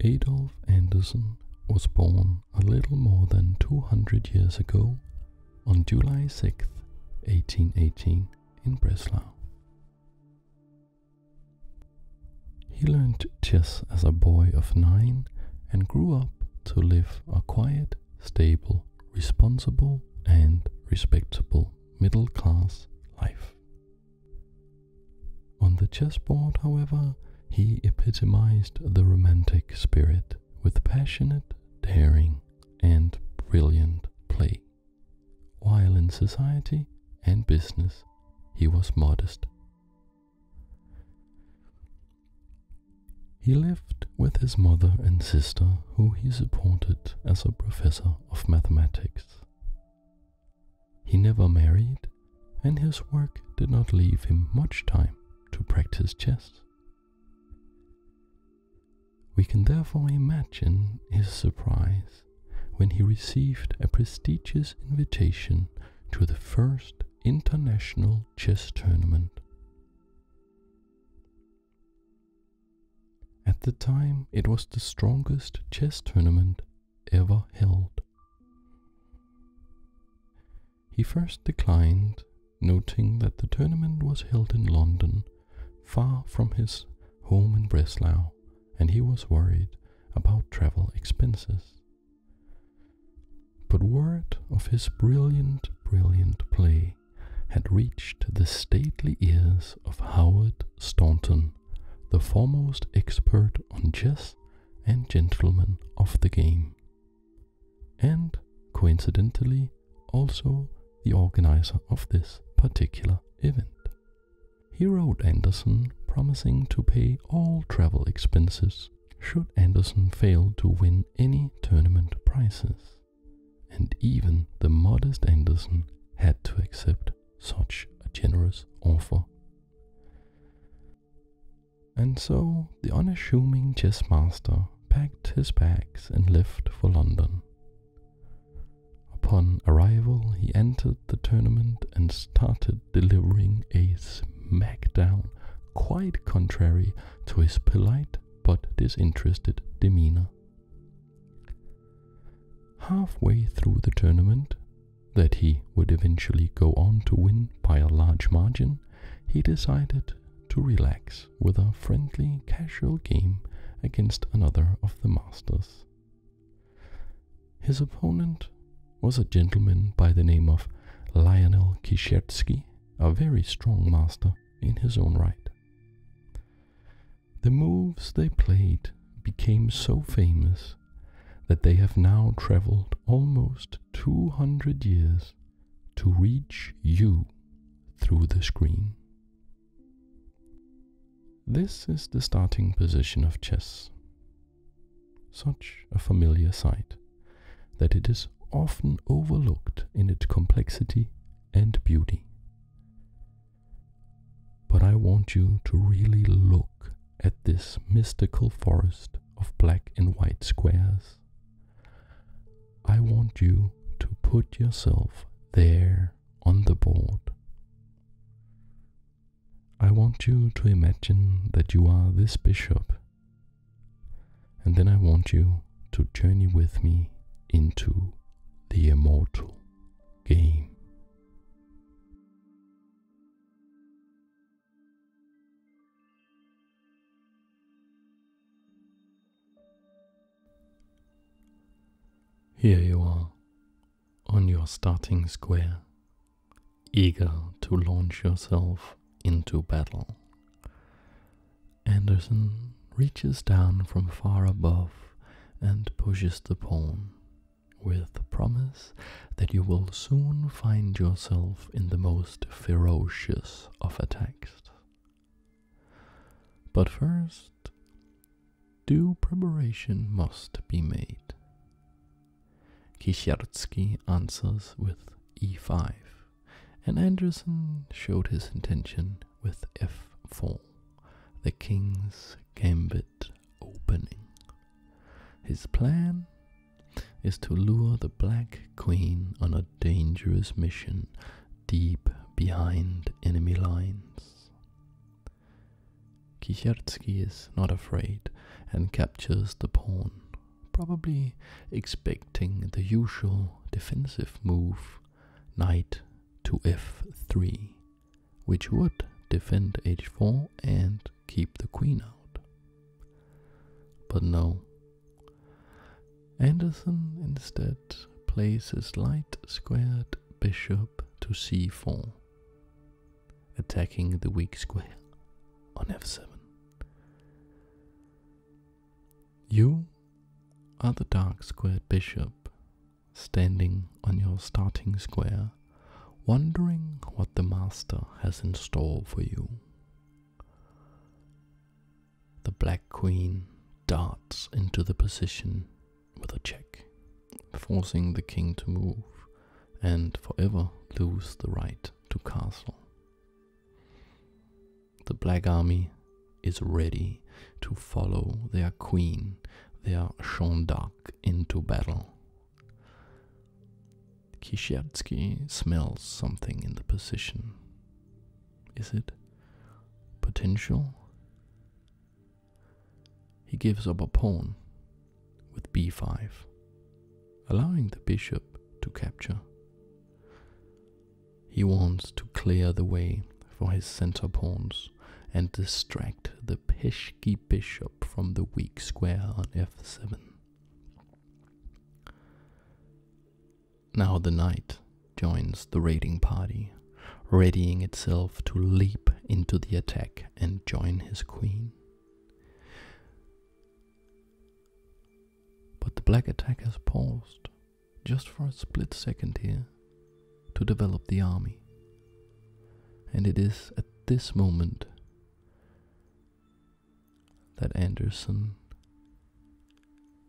Adolf Andersson was born a little more than 200 years ago on July 6, 1818, in Breslau. He learned chess as a boy of nine and grew up to live a quiet, stable, responsible, and respectable middle class life. On the chessboard, however, he epitomized the romantic spirit with passionate daring and brilliant play while in society and business he was modest. He lived with his mother and sister, who he supported as a professor of mathematics. He never married, and his work did not leave him much time to practice chess. We can therefore imagine his surprise when he received a prestigious invitation to the first international chess tournament. At the time, it was the strongest chess tournament ever held. He first declined, noting that the tournament was held in London, far from his home in Breslau, and he was worried about travel expenses. But word of his brilliant, brilliant play had reached the stately ears of Howard Staunton, the foremost expert on chess and gentleman of the game, and coincidentally also the organizer of this particular event. He wrote Anderson promising to pay all travel expenses should Anderson fail to win any tournament prizes, and even the modest Anderson had to accept such a generous offer. And so the unassuming chess master packed his bags and left for London. Upon arrival, he entered the tournament and started delivering a smackdown, quite contrary to his polite but disinterested demeanor. Halfway through the tournament, that he would eventually go on to win by a large margin, he decided to relax with a friendly, casual game against another of the masters. His opponent was a gentleman by the name of Lionel Kishertsky, a very strong master in his own right. The moves they played became so famous that they have now traveled almost 200 years to reach you through the screen. This is the starting position of chess. Such a familiar sight that it is often overlooked in its complexity and beauty. But I want you to really look at this mystical forest of black and white squares. I want you to put yourself there on the board. I want you to imagine that you are this bishop, and then I want you to journey with me into the immortal game. Here you are, on your starting square, eager to launch yourself into battle. Anderson reaches down from far above and pushes the pawn, with the promise that you will soon find yourself in the most ferocious of attacks. But first, due preparation must be made. Kishartsky answers with e5, and Anderson showed his intention with f4, the king's gambit opening. His plan is to lure the black queen on a dangerous mission deep behind enemy lines. Kishertsky is not afraid and captures the pawn, probably expecting the usual defensive move knight to f3, which would defend h4 and keep the queen out. But no. Anderson instead places light squared bishop to c4, attacking the weak square on f7. You are the dark squared bishop standing on your starting square, wondering what the master has in store for you. The black queen darts into the position with a check forcing the king to move and forever lose the right to castle. The Black Army is ready to follow their queen, their Jeanne d'Arc, into battle. Kishiatsky smells something in the position. Is it potential? he gives up a pawn with b5, allowing the bishop to capture. He wants to clear the way for his center pawns and distract the pesky bishop from the weak square on f7. Now the knight joins the raiding party, readying itself to leap into the attack and join his queen. But the black attack has paused just for a split second here to develop the army. And it is at this moment that Anderson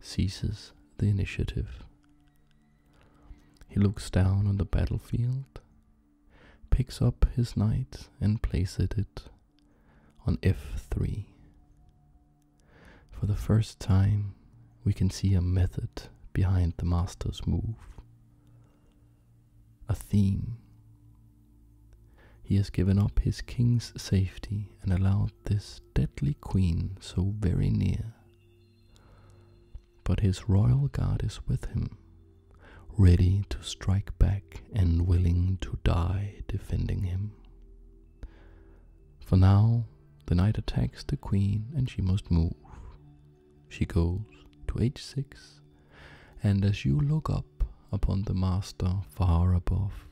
ceases the initiative. He looks down on the battlefield picks up his knight and places it on f3. For the first time, we can see a method behind the master's move, a theme. He has given up his king's safety and allowed this deadly queen so very near. But his royal guard is with him, ready to strike back and willing to die defending him. For now, the knight attacks the queen and she must move. She goes to h6, and as you look up upon the master far above,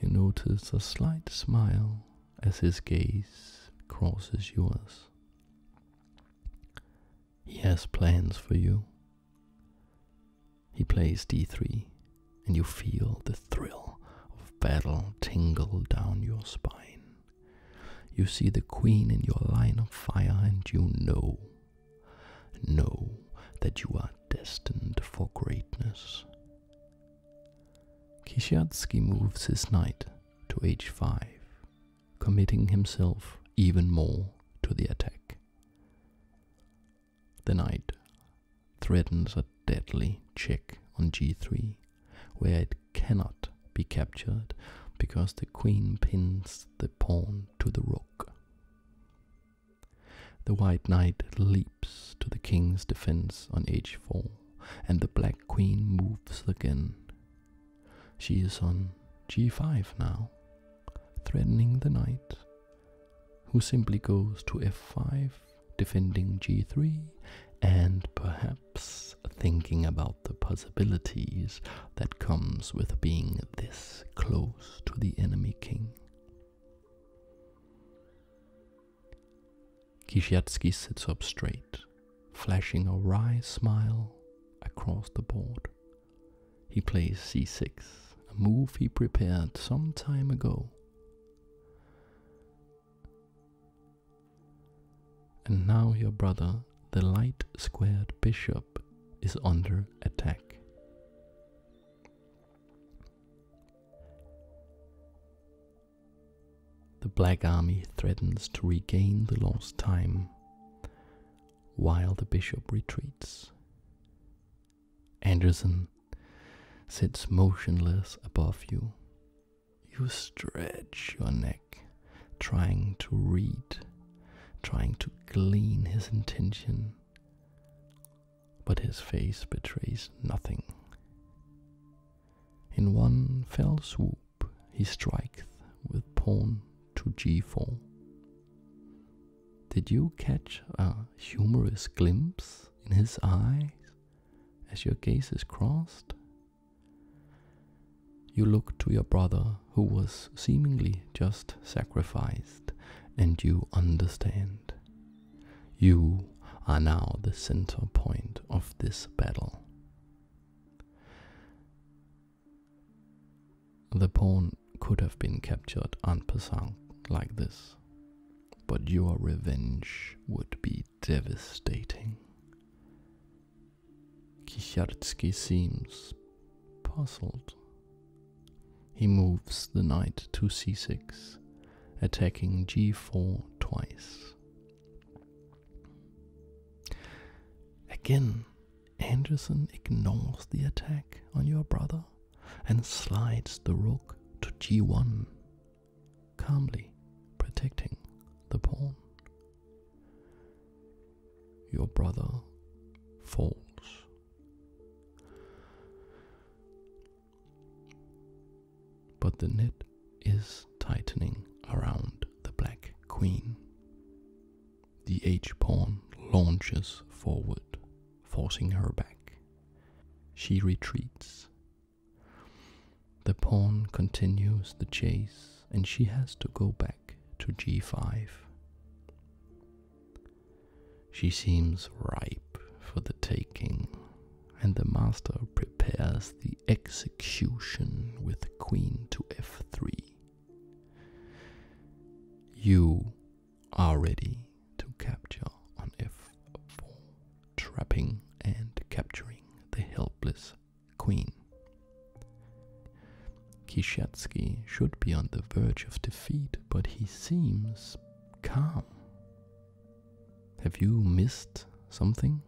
you notice a slight smile as his gaze crosses yours. He has plans for you. He plays d3, and you feel the thrill of battle tingle down your spine. You see the queen in your line of fire, and you know, know that you are destined for greatness. Kishyatsky moves his knight to h5 committing himself even more to the attack. The knight threatens a deadly check on g3, where it cannot be captured because the queen pins the pawn to the rook. The white knight leaps to the king's defense on h4, and the black queen moves again. She is on g5 now, threatening the knight, who simply goes to f5, defending g3, and perhaps thinking about the possibilities that comes with being this close to the enemy king. Kishiatsky sits up straight, flashing a wry smile across the board he plays c6, a move he prepared some time ago. And now your brother, the light squared bishop, is under attack. The Black Army threatens to regain the lost time while the bishop retreats. Anderson sits motionless above you. You stretch your neck, trying to read, trying to glean his intention, but his face betrays nothing. In one fell swoop, he strikes with pawn to g4. Did you catch a humorous glimpse in his eyes as your gazes crossed? You look to your brother, who was seemingly just sacrificed, and you understand. You are now the center point of this battle. The pawn could have been captured en passant like this, but your revenge would be devastating. Kishartsky seems puzzled. He moves the knight to c6, attacking g4 twice. Again, Anderson ignores the attack on your brother and slides the rook to g1, calmly protecting the pawn. Your brother falls. But the net is tightening around the black queen. The h pawn launches forward, forcing her back. She retreats. The pawn continues the chase and she has to go back to g5. She seems ripe for the taking, and the master prepares the execution with queen to f3. You are ready to capture on f4, trapping and capturing the helpless queen. Kishatsky should be on the verge of defeat, but he seems calm. Have you missed something?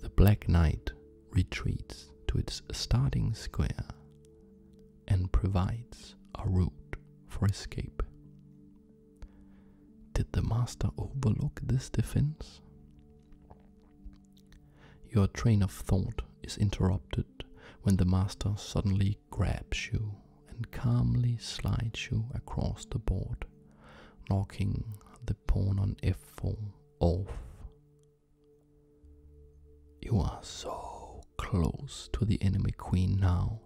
the Black Knight retreats to its starting square and provides a route for escape. Did the master overlook this defense? Your train of thought is interrupted when the master suddenly grabs you and calmly slides you across the board, knocking the pawn on f4 off you are so close to the enemy queen now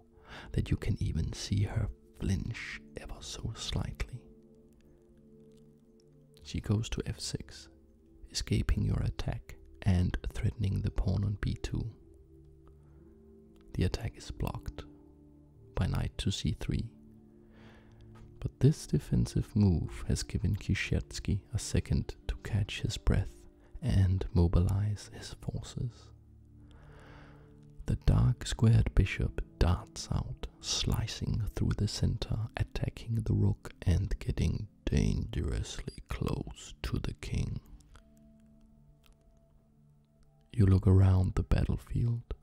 that you can even see her flinch ever so slightly. She goes to f6, escaping your attack and threatening the pawn on b2. The attack is blocked by knight to c3 but this defensive move has given Kishiatsky a second to catch his breath and mobilize his forces. The dark squared bishop darts out, slicing through the center, attacking the rook and getting dangerously close to the king. You look around the battlefield,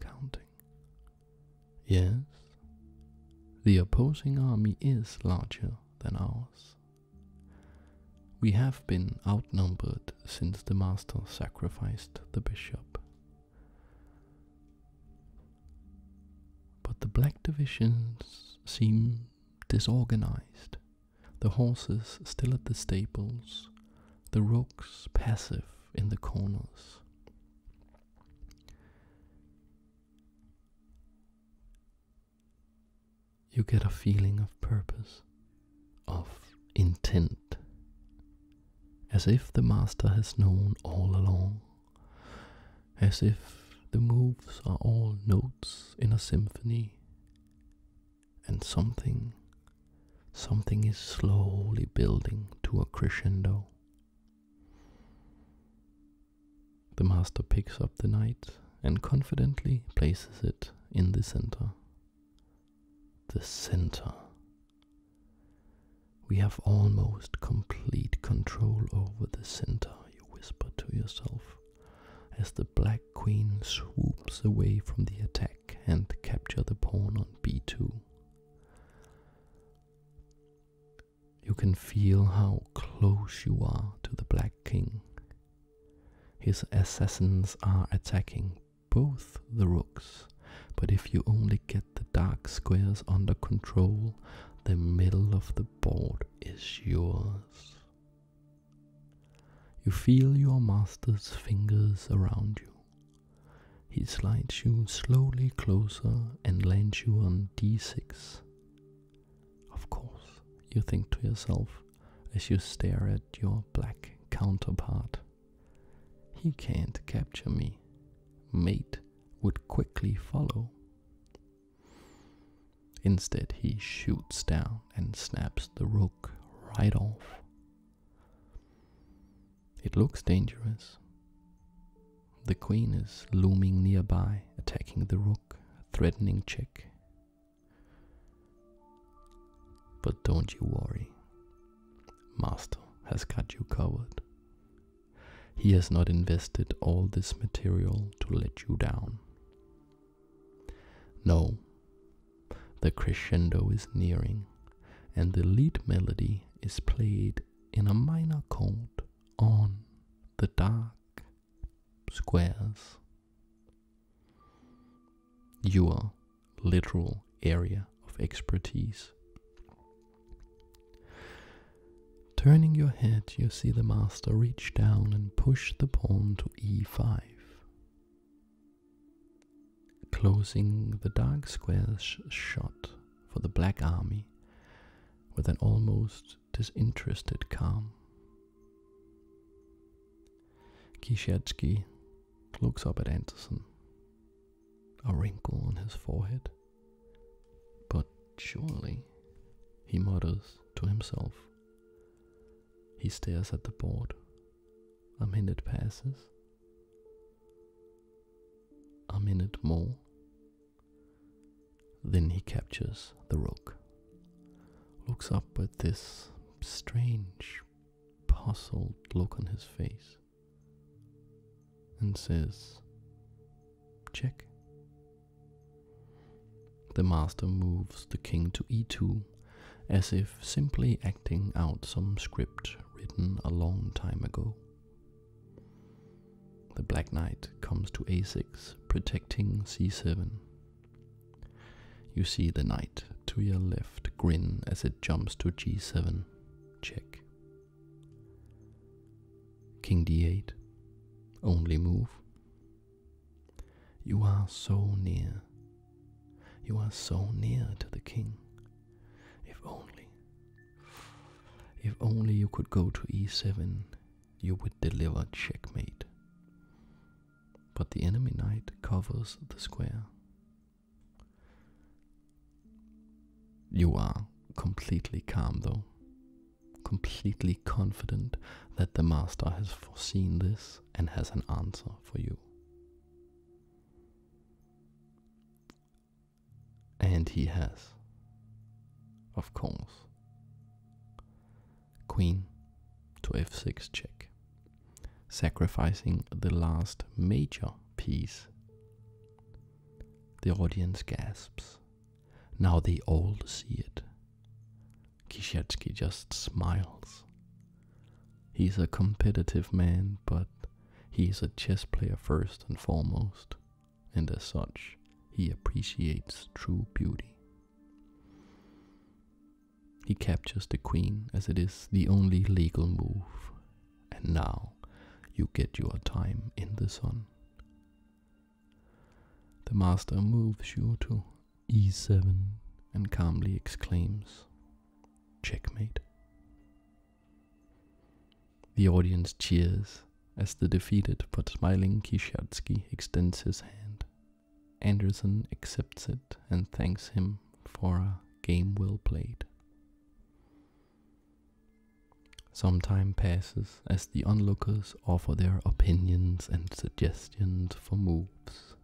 counting. Yes, the opposing army is larger than ours. We have been outnumbered since the master sacrificed the bishop. But the black divisions seem disorganized, the horses still at the stables, the rooks passive in the corners you get a feeling of purpose, of intent, as if the master has known all along, as if the moves are all notes in a symphony, and something, something is slowly building to a crescendo the master picks up the knight and confidently places it in the center. The center. We have almost complete control over the center, you whisper to yourself, as the black queen swoops away from the attack and captures the pawn on b2 you can feel how close you are to the Black King. His assassins are attacking both the rooks, but if you only get the dark squares under control, the middle of the board is yours. You feel your master's fingers around you. He slides you slowly closer and lands you on d6. Of course, you think to yourself as you stare at your black counterpart. He can't capture me. Mate would quickly follow. Instead, he shoots down and snaps the rook right off. It looks dangerous. The queen is looming nearby, attacking the rook, threatening check. But don't you worry. Master has got you covered. He has not invested all this material to let you down. No, the crescendo is nearing, and the lead melody is played in a minor chord on the dark squares. Your literal area of expertise. Turning your head, you see the master reach down and push the pawn to e5, closing the dark squares shut for the Black Army with an almost disinterested calm. Kishatsky looks up at Anderson, a wrinkle on his forehead. But surely, he mutters to himself. He stares at the board. A minute passes. A minute more then he captures the rook, looks up at this strange, puzzled look on his face, and says, Check. The master moves the king to e2 as if simply acting out some script written a long time ago the black knight comes to a6, protecting c7. You see the knight to your left grin as it jumps to g7. Check. King d8. Only move. You are so near. You are so near to the king. If only, if only you could go to e7, you would deliver checkmate. But the enemy knight covers the square. You are completely calm, though, completely confident that the master has foreseen this and has an answer for you. And he has. Of course. Queen to f6 check, sacrificing the last major piece. The audience gasps. Now they all see it. Kishetsky just smiles. He's a competitive man, but he's a chess player first and foremost and as such, he appreciates true beauty. He captures the queen as it is the only legal move, and now you get your time in the sun. The master moves you to e7 and calmly exclaims, Checkmate. The audience cheers as the defeated but smiling Kishyatsky extends his hand. Anderson accepts it and thanks him for a game well played. Some time passes as the onlookers offer their opinions and suggestions for moves.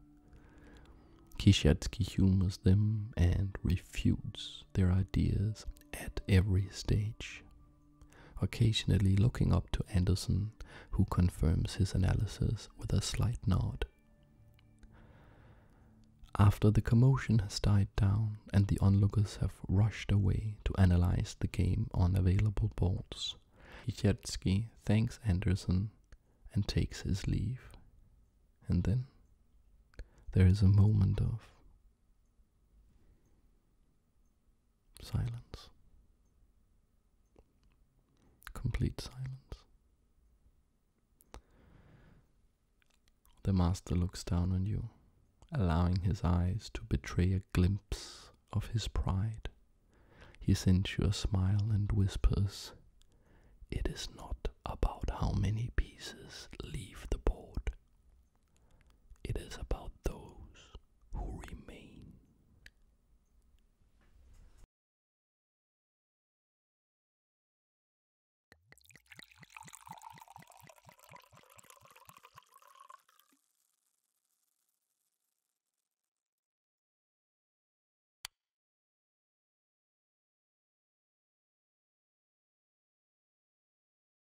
Kishyatsky humors them and refutes their ideas at every stage occasionally looking up to Anderson, who confirms his analysis with a slight nod. After the commotion has died down and the onlookers have rushed away to analyze the game on available boards, Ichertsky thanks Anderson and takes his leave. And then there is a moment of Silence. Complete silence. The master looks down on you, allowing his eyes to betray a glimpse of his pride. He sends you a smile and whispers, It is not about how many pieces leave the board, it is about those who remain.